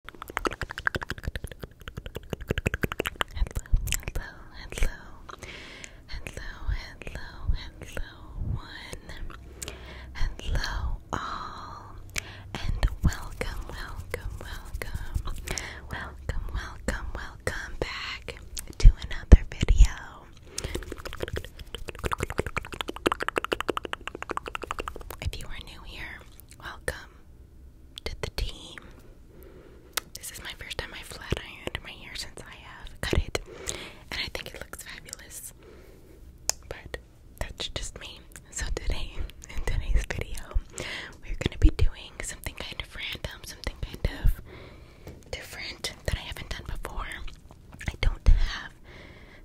hello, hello, hello, hello, hello, one, hello, all, and welcome, welcome, welcome, welcome, welcome, welcome back to another video. If you are new here, welcome did the team. This is my first time I flat ironed my hair since I have cut it, and I think it looks fabulous. But that's just me. So today, in today's video, we're gonna be doing something kind of random, something kind of different that I haven't done before. I don't have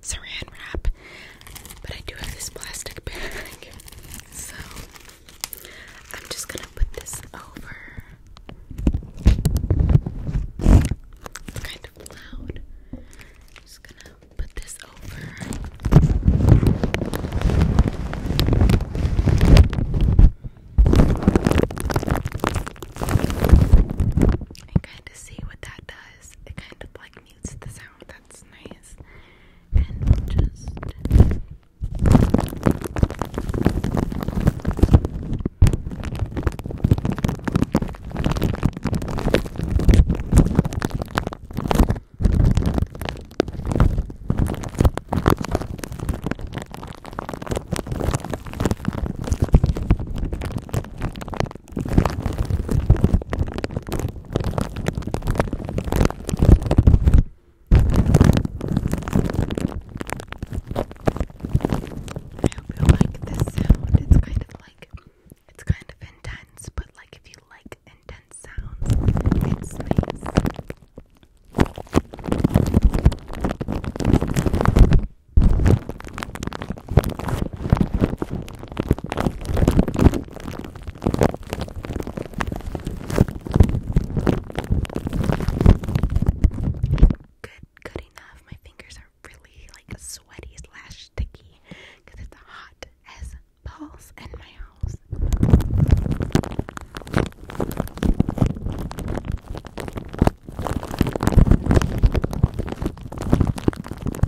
saran wrap. But I do have this plastic bag, so I'm just gonna put this over. It's kind of loud. just gonna put this over. And kind of see what that does. It kind of like mutes the sound that's nice. And just I hope you like this sound. It's kind of like it's kind of intense, but like if you like intense sounds, it's nice. Good, good enough. My fingers are really like sweaty slash sticky because it's hot as balls in my house.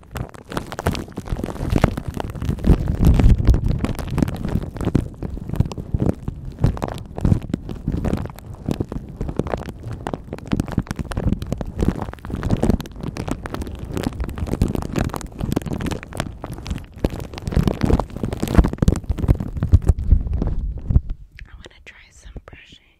I want to try some brushing.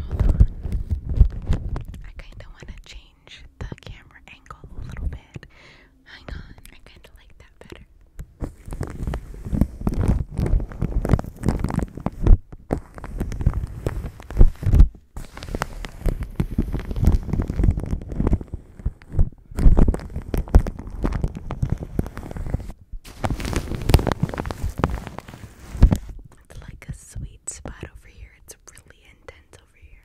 Hold on. I kind of want to change the camera angle a little bit. Hang on, I kind of like that better. It's like a sweet spot over here. It's really intense over here.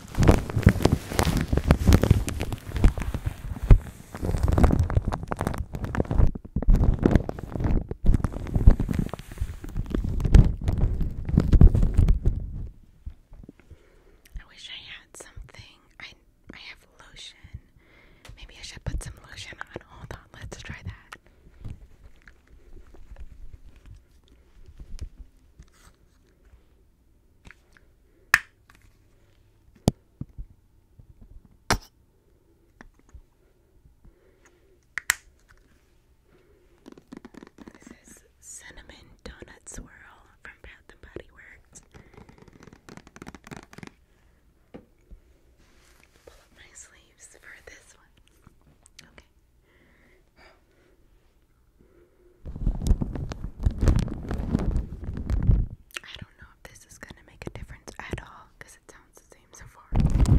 I wish I had something. I I have lotion. Maybe I should put some lotion on. Hold on, let's try that. This is cinnamon donut swirl from Bath and Body Works. Pull up my sleeves for this one. Okay. I don't know if this is going to make a difference at all because it sounds the same so far.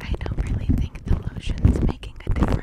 I don't really think the lotion's making a difference.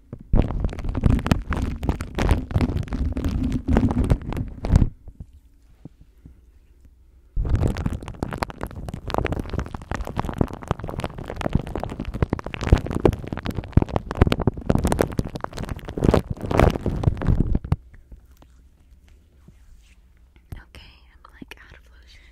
Okay, I'm like out of lotion.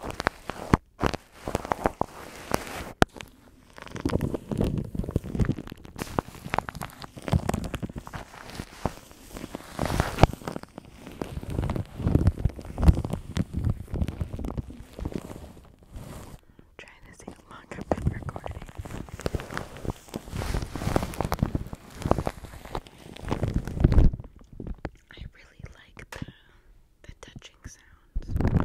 trying to see how long I've been recording. I really like the touching sounds.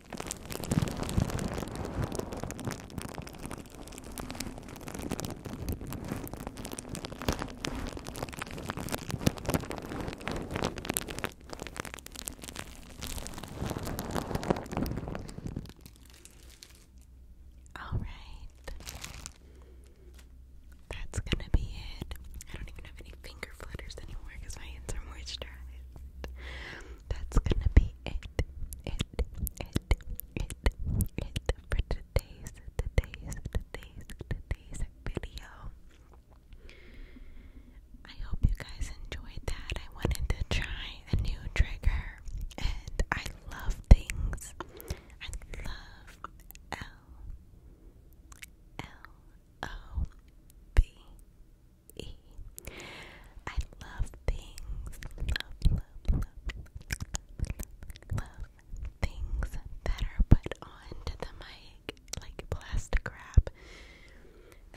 All right. That's going to be it. I don't even have any fingers flutters anymore because my hands are moisturized. That's gonna be it, it, it, it, it for today's, today's, today's, today's video. I hope you guys enjoyed that. I wanted to try a new trigger, and I love things. I love L L O V I love things, love, love, love, love, things that are put onto the mic like plastic wrap,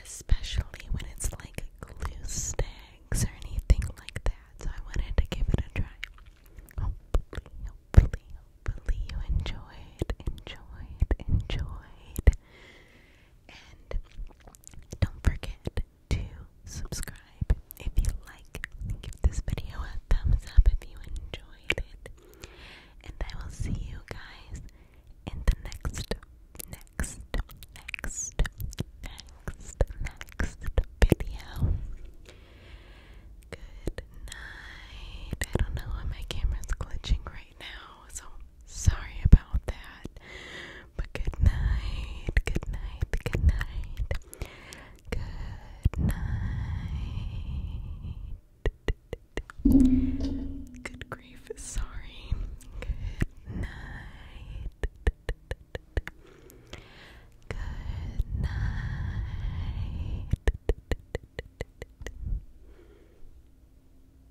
especially when it's like glue sticks or anything like that. So I wanted to give it a try. Hopefully, hopefully, hopefully you enjoyed, enjoyed, enjoyed. And don't forget to subscribe if you like. this video a thumbs up if you enjoyed it. And I will see you guys in the next, next, next, next, next video. Good night. I don't know why my camera's glitching right now, so Sorry about that. But good night, good night, good night. Good night. Good grief, sorry. Good night. Good night.